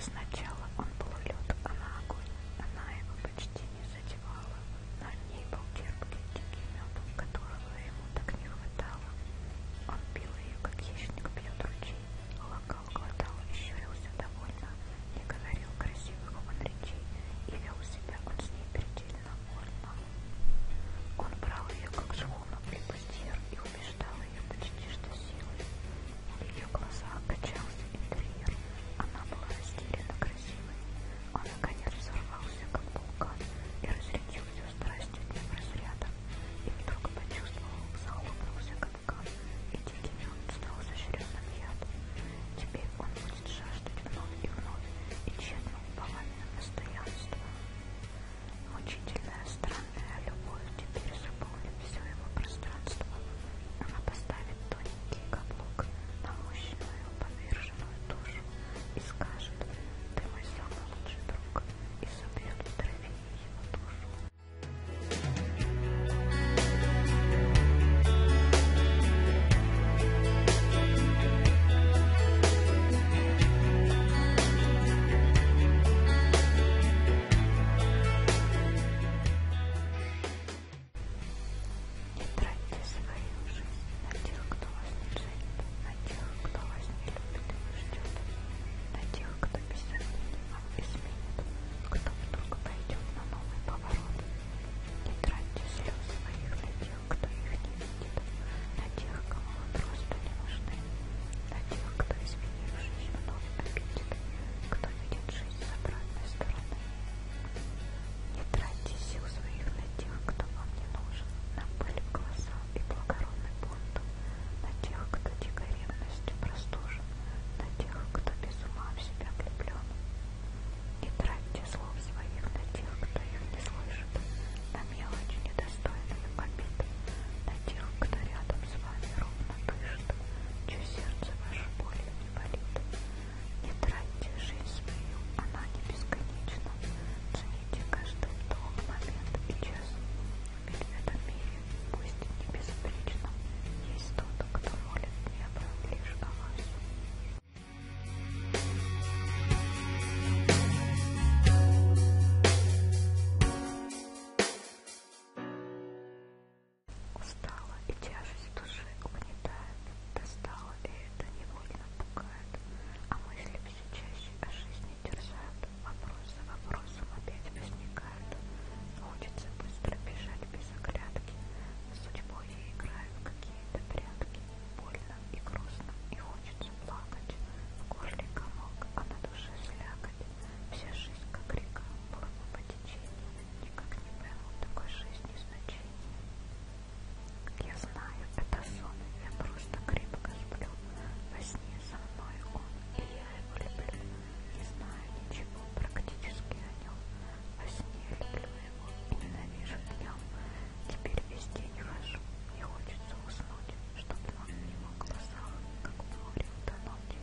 Сначала он плывет а на огонь, она его почти не задевала. На ней был терпкий дикий мед, которого ему так не хватало. Он пил ее, как хищник пьет ручей, локал глотал и щурился довольно, не говорил красивых он речей, и вел себя он с ней предельно вольно. Он брал ее, как шхуну и пустир, и убеждал, ее почти что силой. В ее глазах качался интерьер. Она была растерянно красивой. Он, наконец, взорвался, как вулкан, и разрядился страстью днем разряда. И вдруг почувствовал, захлопнулся капкан, и дикими он стал заширенным ядом. Теперь он будет жаждать вновь и вновь, и тщетно уповать на постоянство. Мучительная страсть любовь теперь заполнит все его пространство. Она поставит тоненький каблук на мощную поверженную душу и скажет «Ты мой самый лучший друг» и соберет в траве его душу. Не тратьте свою жизнь на тех, кто вас не ценит, на тех, кто вас не любит и ждет, на тех, кто без сомнений вам изменит, кто вдруг пойдет на новый поворот. Не тратьте слез своих на тех, кто их не видит, на тех, кому вы просто не нужны. На тех, кто, изменившись, вновь обидит, кто видит жизнь с обратной стороны. Не тратьте сил своих на тех, кто вам не нужен, на пыль в глаза и благородный бунт, на тех, кто дико ревностью простужен, на тех, кто без ума в себя влюблен. Не тратьте слов своих на тех, кто их не слышит, на мелочь недостойную обид, на тех, кто рядом с вами ровно дышит, чье сердце ваше болью не болит. Не тратьте жизнь свою, она не бесконечна. Цените каждый вдох, момент и час. Ведь в этом мире, пусть и безупречном, есть тот, кто молит небо лишь о вас. Устала и тяжесть души угнетает, достала и это невольно пугает, а мысли все чаще о жизни терзают, вопрос за вопросом опять возникает, хочется быстро бежать без оглядки, судьбой я играю в какие-то прятки, больно и грустно, и хочется плакать. В горле комок, а на душе слякоть. Вся жизнь, как река, плыла по течению. Никак не пойму такой жизни значения. Я знаю, это сон, я просто крепко сплю. Во сне со мной он, и я его люблю. Не знаю ничего практически о нем. Во сне люблю его и ненавижу днем. Теперь весь день хожу, не хочется уснуть, чтобы он не мог глазах, как море утонуть.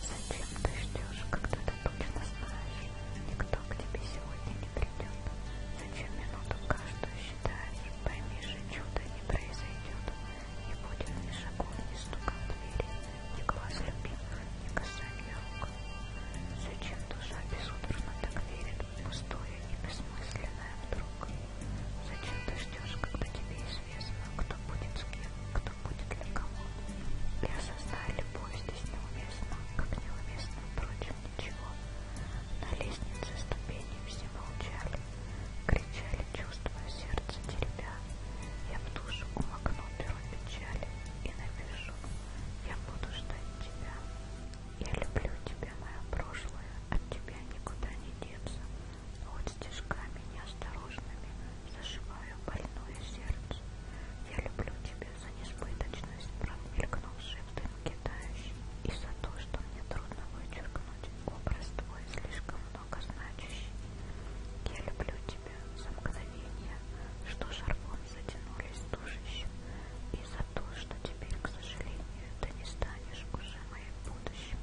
Зачем ты ждешь, когда ты точно знаешь, никто к тебе сегодня не придет? Зачем минуту каждую считаешь, пойми же, чудо не произойдет. Не будет ни шагов, ни стука в двери, ни глаз любимых, ни касания рук. Зачем душа безудержно так верит, пустое и бессмысленное вдруг. Зачем ты ждешь, когда тебе известно, кто будет с кем, кто будет для кого? И осознай, любовь здесь неуместна, как неуместно, впрочем, ничего. На лестнице ступени все молчали, кричали, чувствуя сердце теребя. Я в душу умокну перо печали и напишу, я буду ждать тебя. Я люблю тебя, мое прошлое, от тебя никуда не деться. Вот стежками неосторожными зашиваю больное сердце. Я люблю тебя за несбыточность, промелькнувшей в дымке тающей, и за то, что мне трудно вычеркнуть образ твой слишком много значащий. Я люблю тебя за мгновение что Шарбон затянулись душищем, и за то, что теперь, к сожалению, ты не станешь уже моим будущим,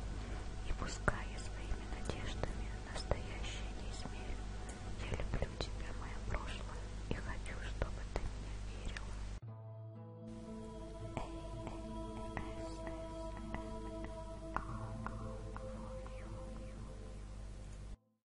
и пускай я своими надеждами настоящее не измерю, я люблю тебя, мое прошлое, и хочу, чтобы ты меня верила.